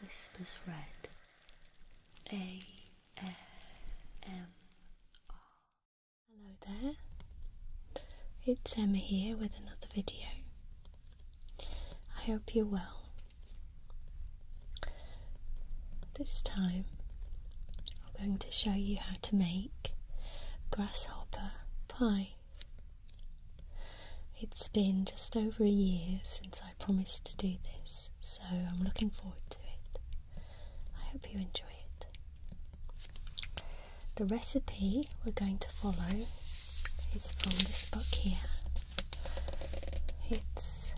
Whispers Red ASMR. Hello there, it's Emma here with another video. I hope you're well. This time I'm going to show you how to make grasshopper pie. It's been just over a year since I promised to do this, so I'm looking forward to it. I hope you enjoy it. The recipe we're going to follow is from this book here. It's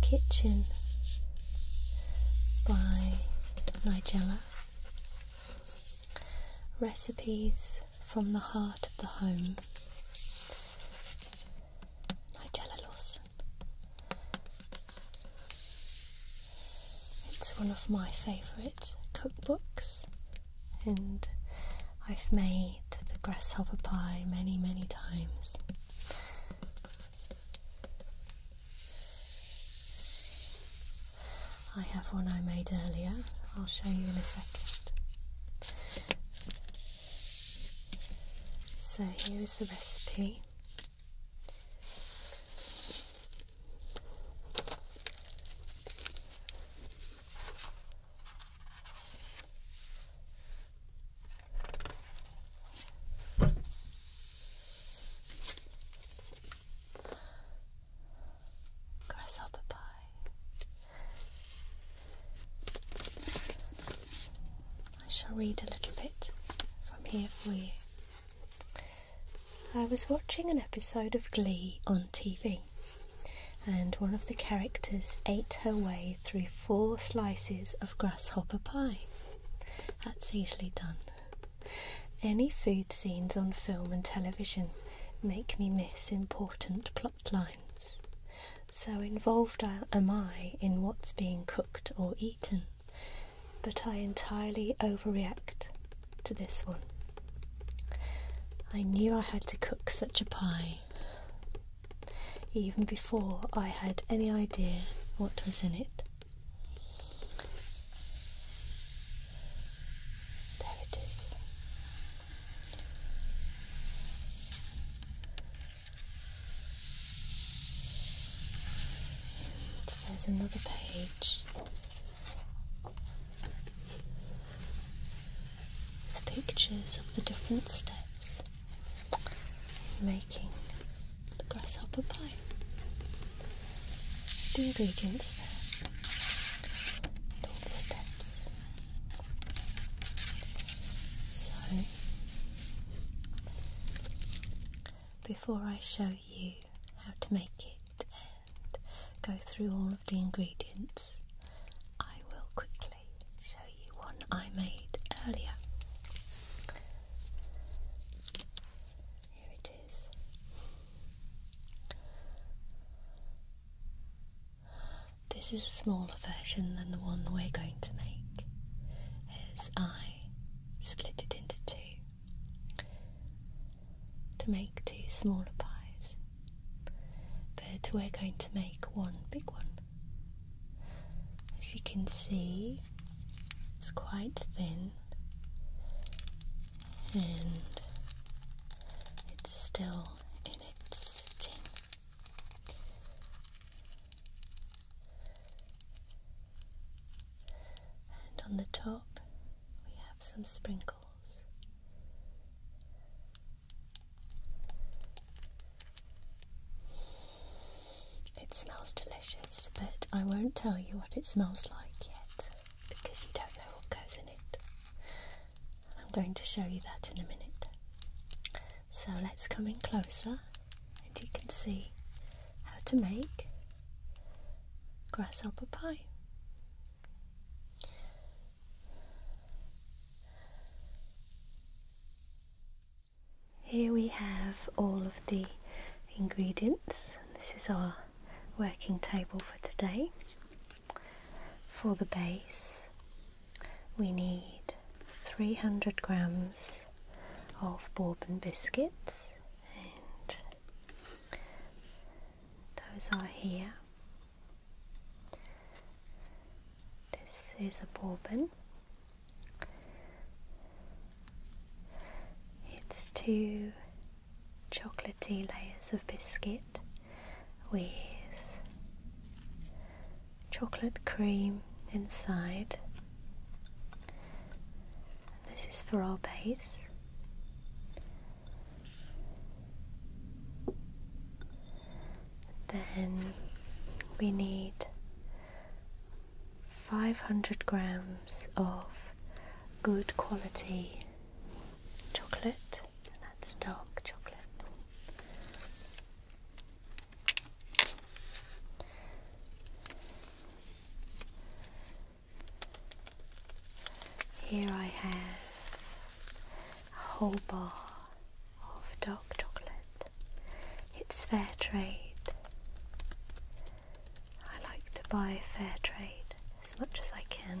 Kitchen by Nigella. Recipes from the heart of the home. Nigella Lawson. It's one of my favourite cookbooks, and I've made the grasshopper pie many, many times. I have one I made earlier, I'll show you in a second. So here is the recipe. Grasshopper pie. I shall read a little bit from here for you. I was watching an episode of Glee on TV, and one of the characters ate her way through four slices of grasshopper pie. That's easily done. Any food scenes on film and television make me miss important plot lines. So involved am I in what's being cooked or eaten, but I entirely overreact to this one. I knew I had to cook such a pie even before I had any idea what was in it. There it is. there's another page. With pictures of the different steps in making the grasshopper pie. The ingredients and all the steps. So, before I show you how to make it and go through all of the ingredients, I will quickly show you one I made earlier. Here it is. This is a smaller version than the one we're going to make, as I split it into two to make two smaller pies. But we're going to make one big one. As you can see, it's quite thin and it's still and on the top, we have some sprinkles. It smells delicious, but I won't tell you what it smells like yet because you don't know what goes in it. I'm going to show you that in a minute. So let's come in closer and you can see how to make grasshopper pie. Here we have all of the ingredients. This is our working table for today. For the base, we need 300 grams of Bourbon biscuits, and those are here. This is a Bourbon. It's two chocolatey layers of biscuit with chocolate cream inside. This is for our base. Then we need 500 grams of good quality chocolate, and that's dark chocolate. Here I have a whole bar of dark chocolate. It's fair trade. I like to buy fair trade as much as I can.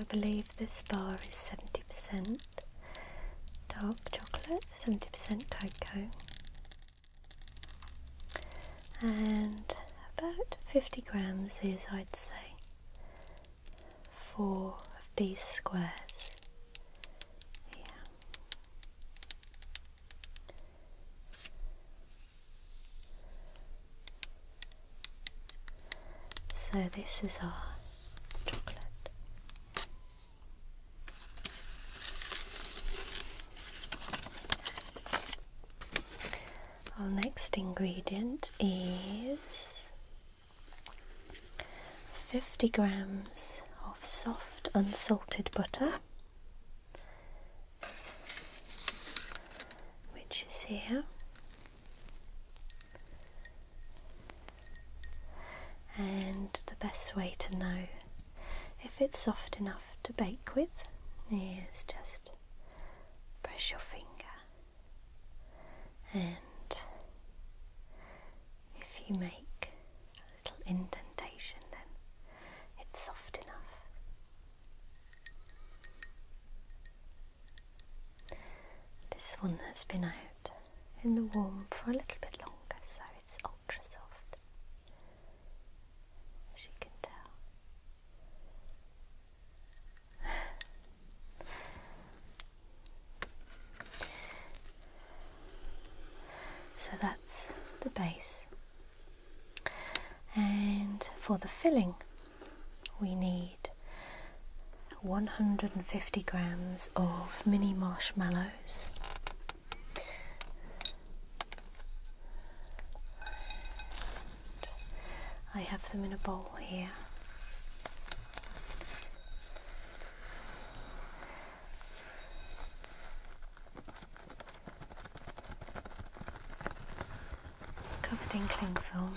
I believe this bar is 70% dark chocolate, 70% cocoa, and about 50 grams is, I'd say, four of these squares here. So this is our chocolate. Our next ingredient is 50 grams of soft unsalted butter, which is here. And the best way to know if it's soft enough to bake with is just press your finger and if you make a little indentation, then it's soft enough. This one has been out in the warm for a little bit longer, so it's ultra soft, as you can tell. So that's the base. And for the filling, we need 150 grams of mini marshmallows. I have them in a bowl here. Covered in cling film.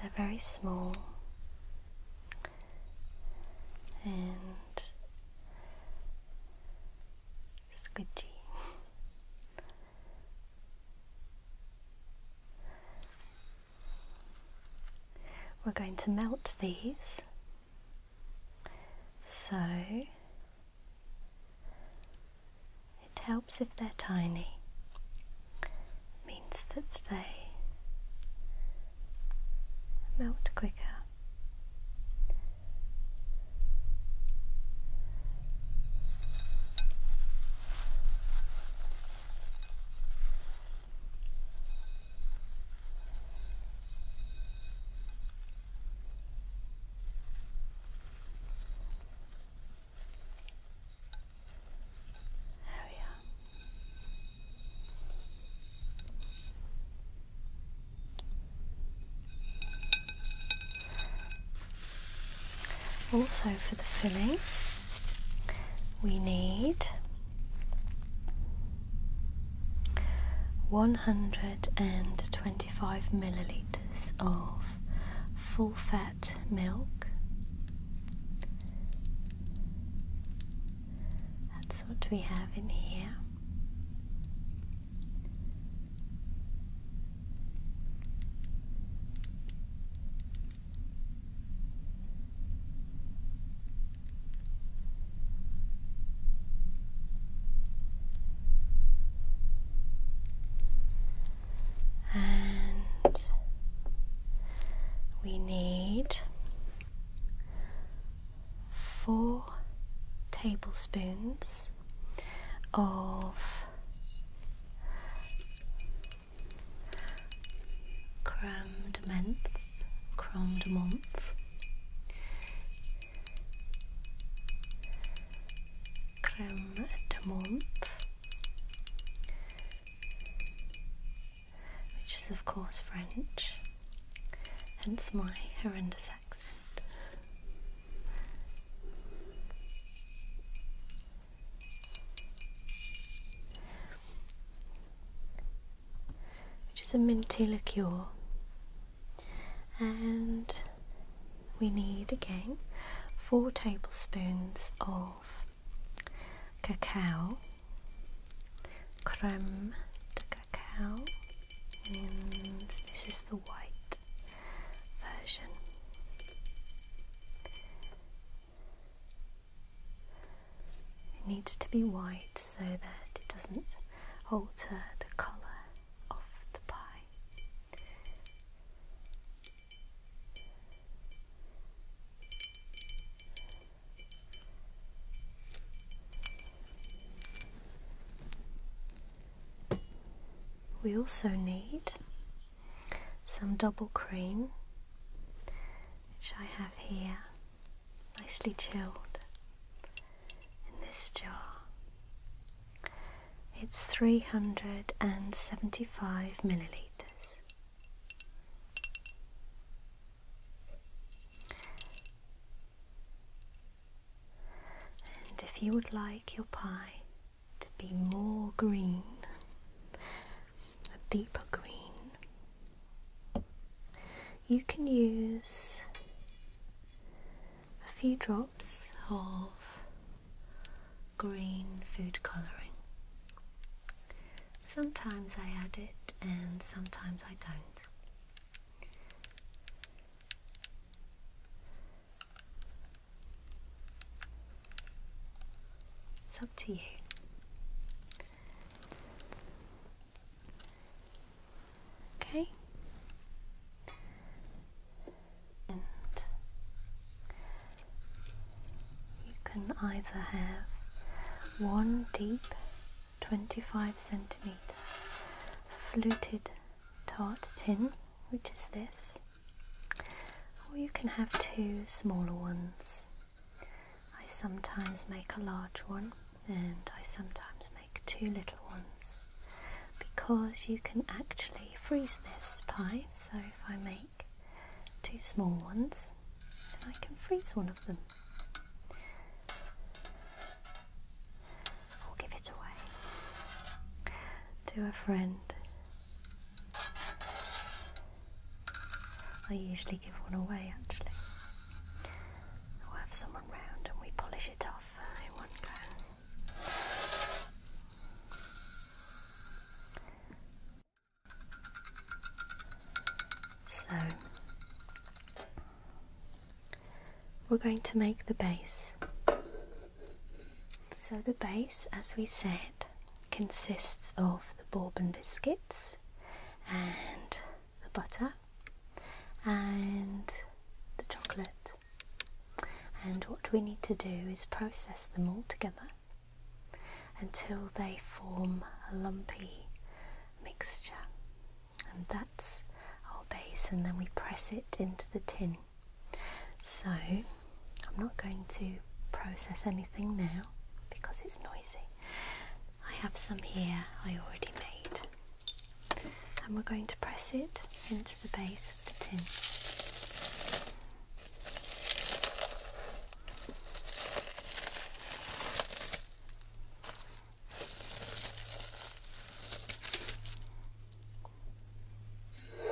They're very small and squidgy. We're going to melt these. So it helps if they're tiny. means that they melt quicker. There oh, we also, for the filling, we need 125 millilitres of full fat milk. That's what we have in here. And we need four tablespoons of crammed menthe, crammed menthe, creme de menthe, which is of course French, hence my horrendous which is a minty liqueur, and we need again four tablespoons of cacao, creme cacao, and this is the white version. It needs to be white so that it doesn't alter the colour of the pie. We also need some double cream, which I have here, nicely chilled in this jar. It's 375 millilitres. And if you would like your pie to be more green, a deeper green, you can use a few drops of green food colouring. Sometimes I add it and sometimes I don't. It's up to you. Okay. you can either have one deep 25 centimeter fluted tart tin, which is this, or you can have two smaller ones. I sometimes make a large one and I sometimes make two little ones because you can actually freeze this pie. So if I make two small ones, then I can freeze one of them. Or give it away to a friend. I usually give one away actually. I'll have someone round and we polish it off in one go. So we're going to make the base. So, the base, as we said, consists of the Bourbon biscuits and the butter and the chocolate. And what we need to do is process them all together until they form a lumpy mixture and that's our base and then we press it into the tin so I'm not going to process anything now because it's noisy I have some here I already made and we're going to press it into the base of the tin there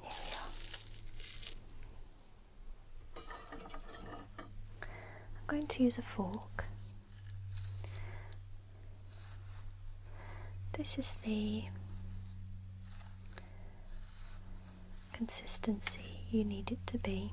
we are. I'm going to use a fork. This is the consistency you need it to be.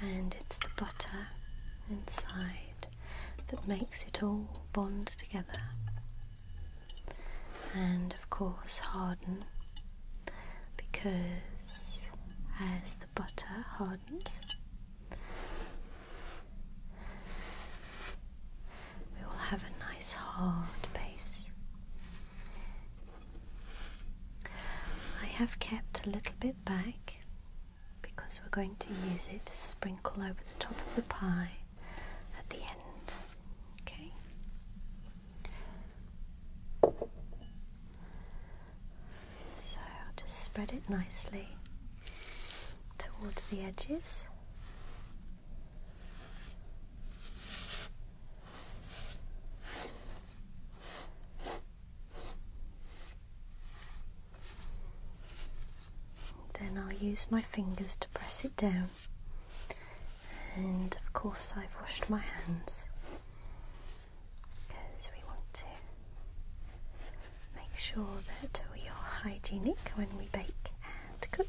And it's the butter inside that makes it all bond together and of course harden because as the butter hardens, we will have a nice hard base. I have kept a little bit back because we're going to use it to sprinkle over the top of the pie at the end. Okay. So I'll just spread it nicely towards the edges. Then I'll use my fingers to press it down. And of course, I've washed my hands because we want to make sure that we are hygienic when we bake and cook.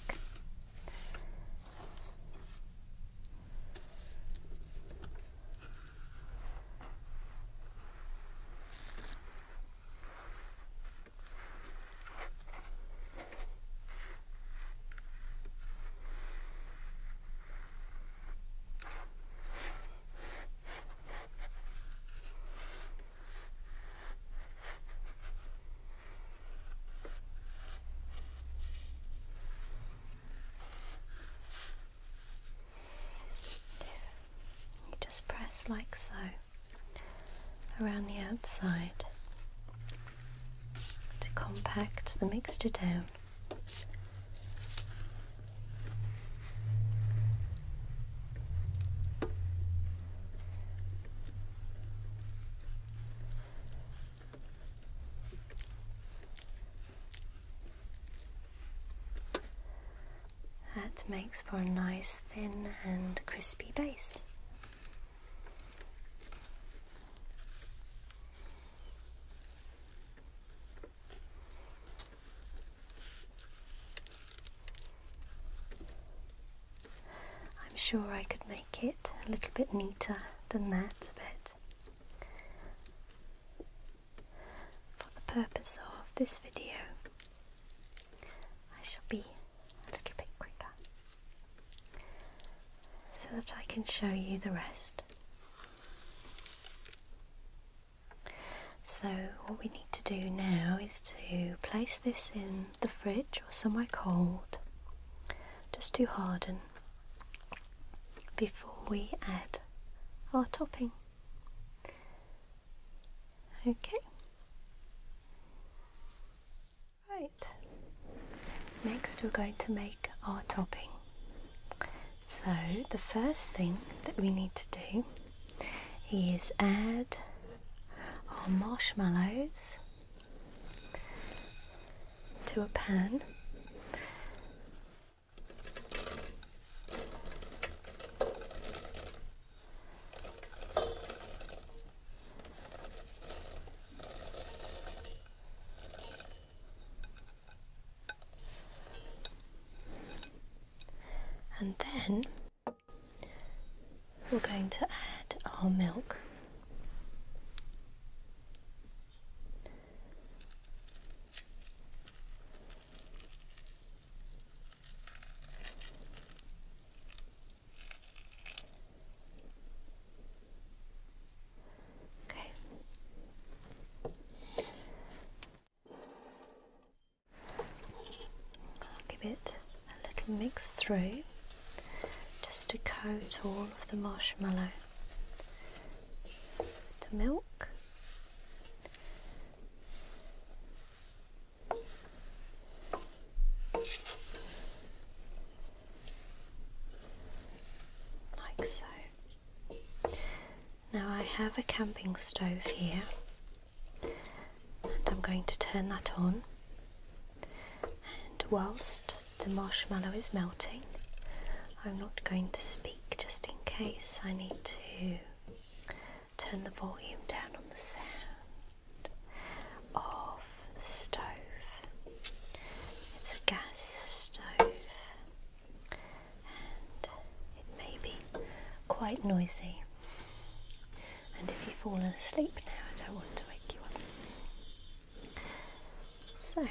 You just press like so around the outside to compact the mixture down. That makes for a nice thin and crispy base. I'm sure I could make it a little bit neater than that, but for the purpose of this video, I shall be a bit quicker so that I can show you the rest. So, what we need to do now is to place this in the fridge or somewhere cold just to harden before we add our topping. Okay. Right, next we're going to make our topping. So the first thing that we need to do is add our marshmallows to a pan. And then we're going to add our milk. Okay. give it a little mix through just to coat all of the marshmallow the milk like so. Now I have a camping stove here, and I'm going to turn that on. And whilst the marshmallow is melting, I'm not going to speak just in case I need to turn the volume down on the sound of the stove. It's a gas stove and it may be quite noisy. And if you've fallen asleep now, I don't want to wake you up. So,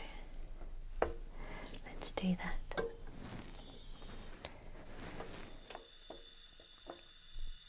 let's do that.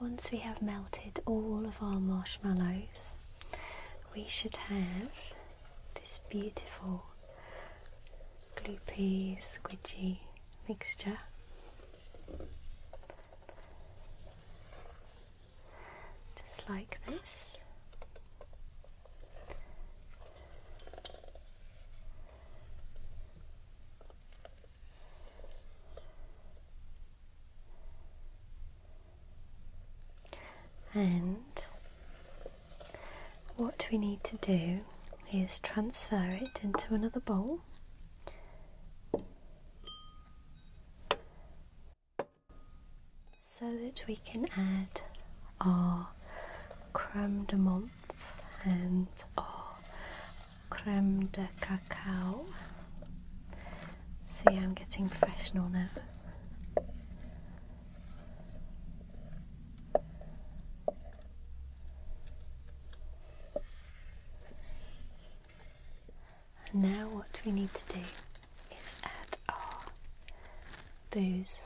Once we have melted all of our marshmallows, we should have this beautiful gloopy, squidgy mixture just like this. And what we need to do is transfer it into another bowl so that we can add our creme de menthe and our creme de cacao. See, I'm getting professional now. And now what we need to do is add our booze.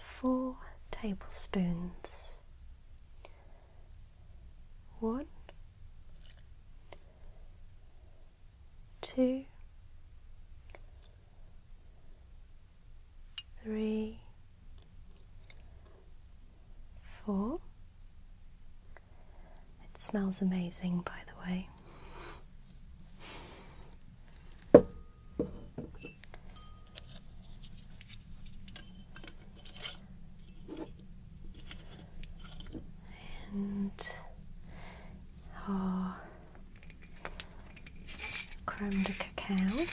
4 tablespoons, One, two, three, four. It smells amazing by the way way. And our creme de cacao.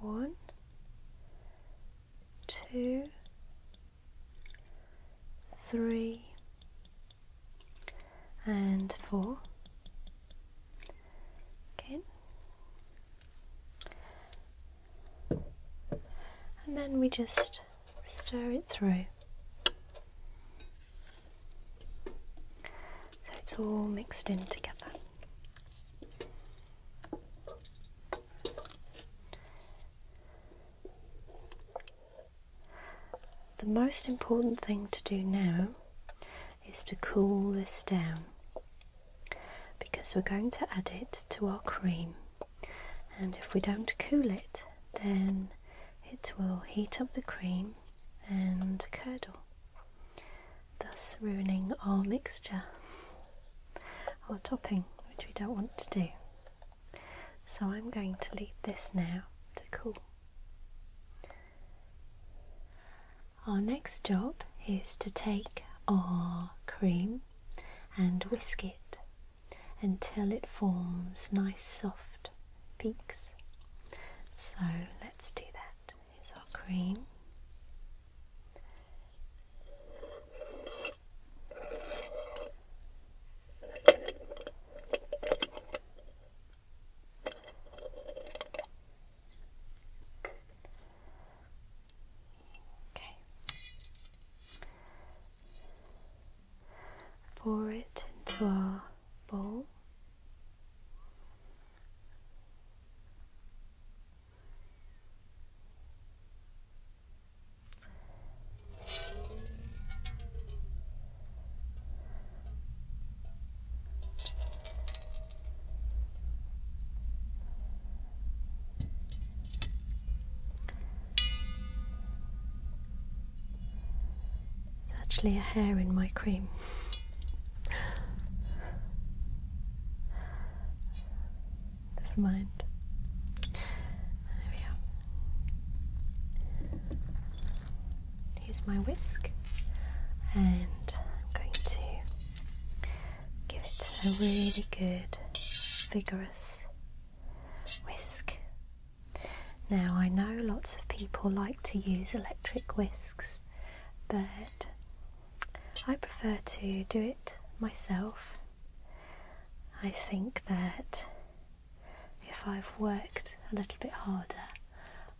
One, two, three, and four. Again. And then we just stir it through. So it's all mixed in together. The most important thing to do now is to cool this down because we're going to add it to our cream and if we don't cool it then it will heat up the cream and curdle thus ruining our mixture our topping which we don't want to do so I'm going to leave this now to cool our next job is to take our cream and whisk it until it forms nice soft peaks. So let's do that. Here's our cream. Okay pour it into our bowl. There's actually a hair in my cream. Never mind. There we are. Here's my whisk, and I'm going to give it a really good, vigorous whisk. Now I know lots of people like to use electric whisks, but I prefer to do it myself. I think that if I've worked a little bit harder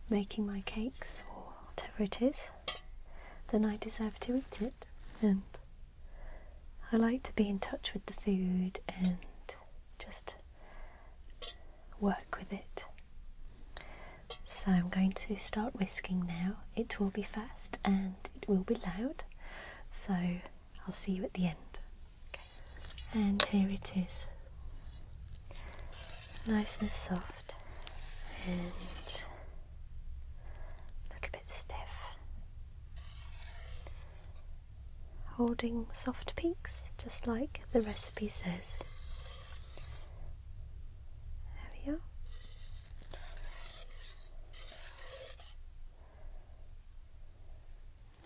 making my cakes or whatever it is, then I deserve to eat it. And I like to be in touch with the food and just work with it. So I'm going to start whisking now. It will be fast and it will be loud, so I'll see you at the end. And here it is, nice and soft, and look a bit stiff holding soft peaks, just like the recipe says. There we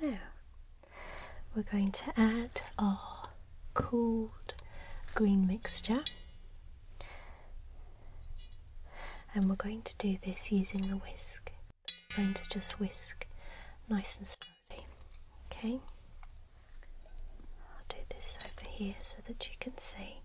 are. Now we're going to add our cooled green mixture and we're going to do this using the whisk. We're going to just whisk nice and slowly. Okay? I'll do this over here so that you can see.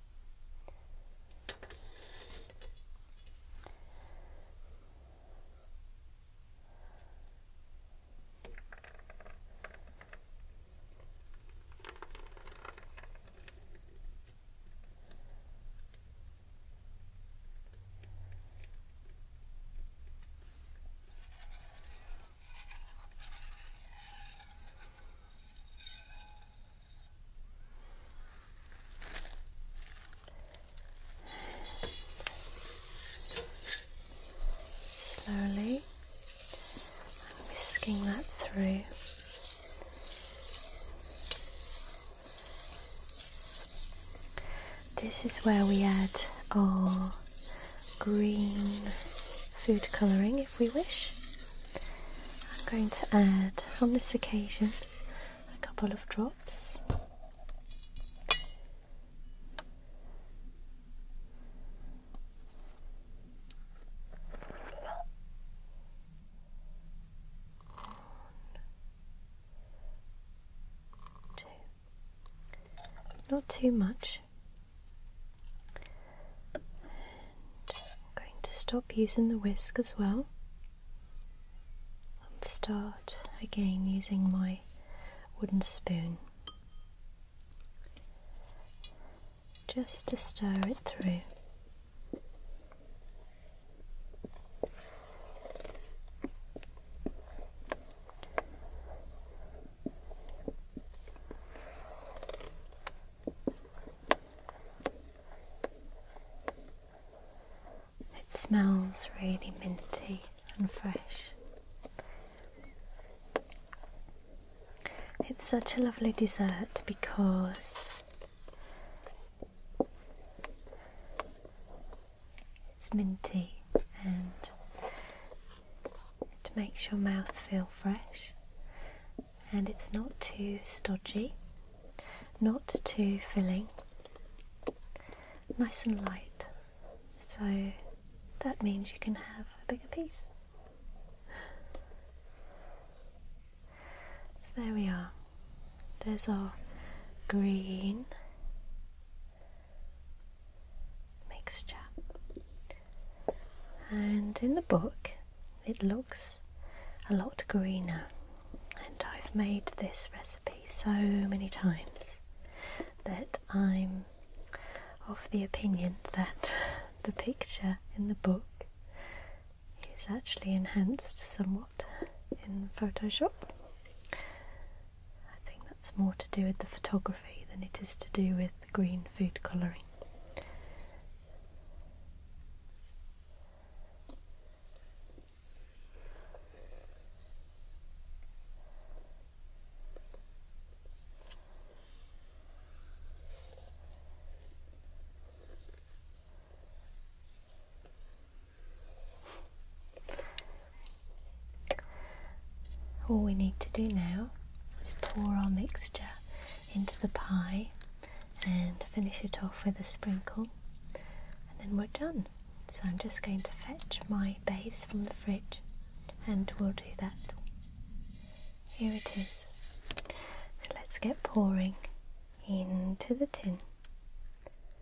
Slowly, I'm whisking that through. This is where we add our green food colouring if we wish. I'm going to add on this occasion a couple of drops. Not too much. I'm going to stop using the whisk as well and start again using my wooden spoon just to stir it through. It smells really minty and fresh. It's such a lovely dessert because it's minty and it makes your mouth feel fresh and it's not too stodgy, not too filling, nice and light. So that means you can have a bigger piece. So there we are. There's our green mixture. And in the book, it looks a lot greener. And I've made this recipe so many times that I'm of the opinion that the picture in the book is actually enhanced somewhat in Photoshop. I think that's more to do with the photography than it is to do with the green food colouring. All we need to do now is pour our mixture into the pie and finish it off with a sprinkle and then we're done. So I'm just going to fetch my base from the fridge and we'll do that. Here it is. let's get pouring into the tin.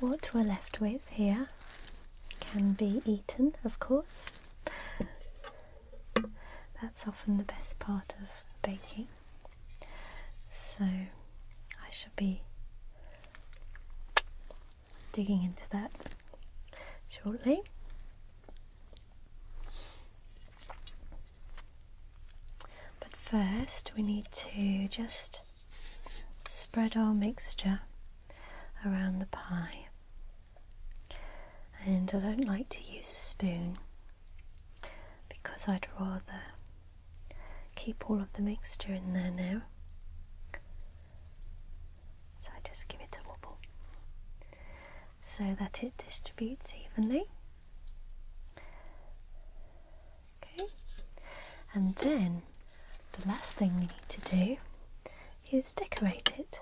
What we're left with here can be eaten, of course. That's often the best part of baking. So I shall be digging into that shortly. But first, we need to just Spread our mixture around the pie. And I don't like to use a spoon because I'd rather keep all of the mixture in there now. So I just give it a wobble so that it distributes evenly. Okay, and then the last thing we need to do is decorate it,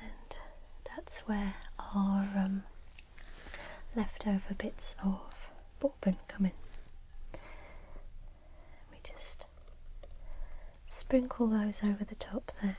and that's where our um, leftover bits of bourbon come in. We just sprinkle those over the top there.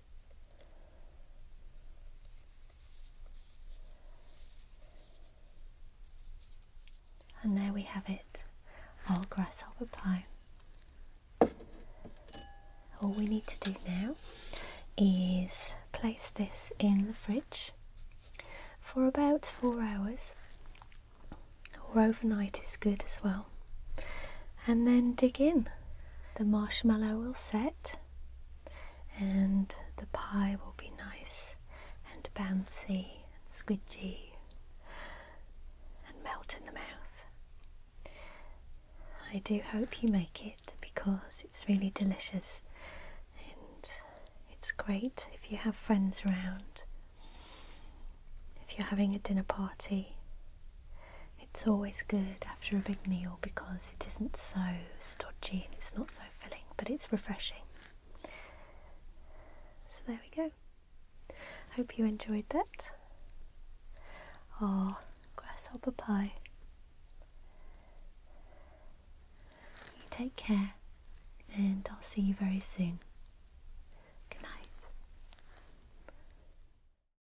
And there we have it, our grasshopper pie. All we need to do now is place this in the fridge for about four hours or overnight is good as well and then dig in. The marshmallow will set and the pie will be nice and bouncy and squidgy and melt in the mouth. I do hope you make it because it's really delicious and it's great if you have friends around, if you're having a dinner party. It's always good after a big meal because it isn't so stodgy and it's not so filling, but it's refreshing. So there we go. Hope you enjoyed that. Oh, grasshopper pie. take care, and I'll see you very soon. Good night.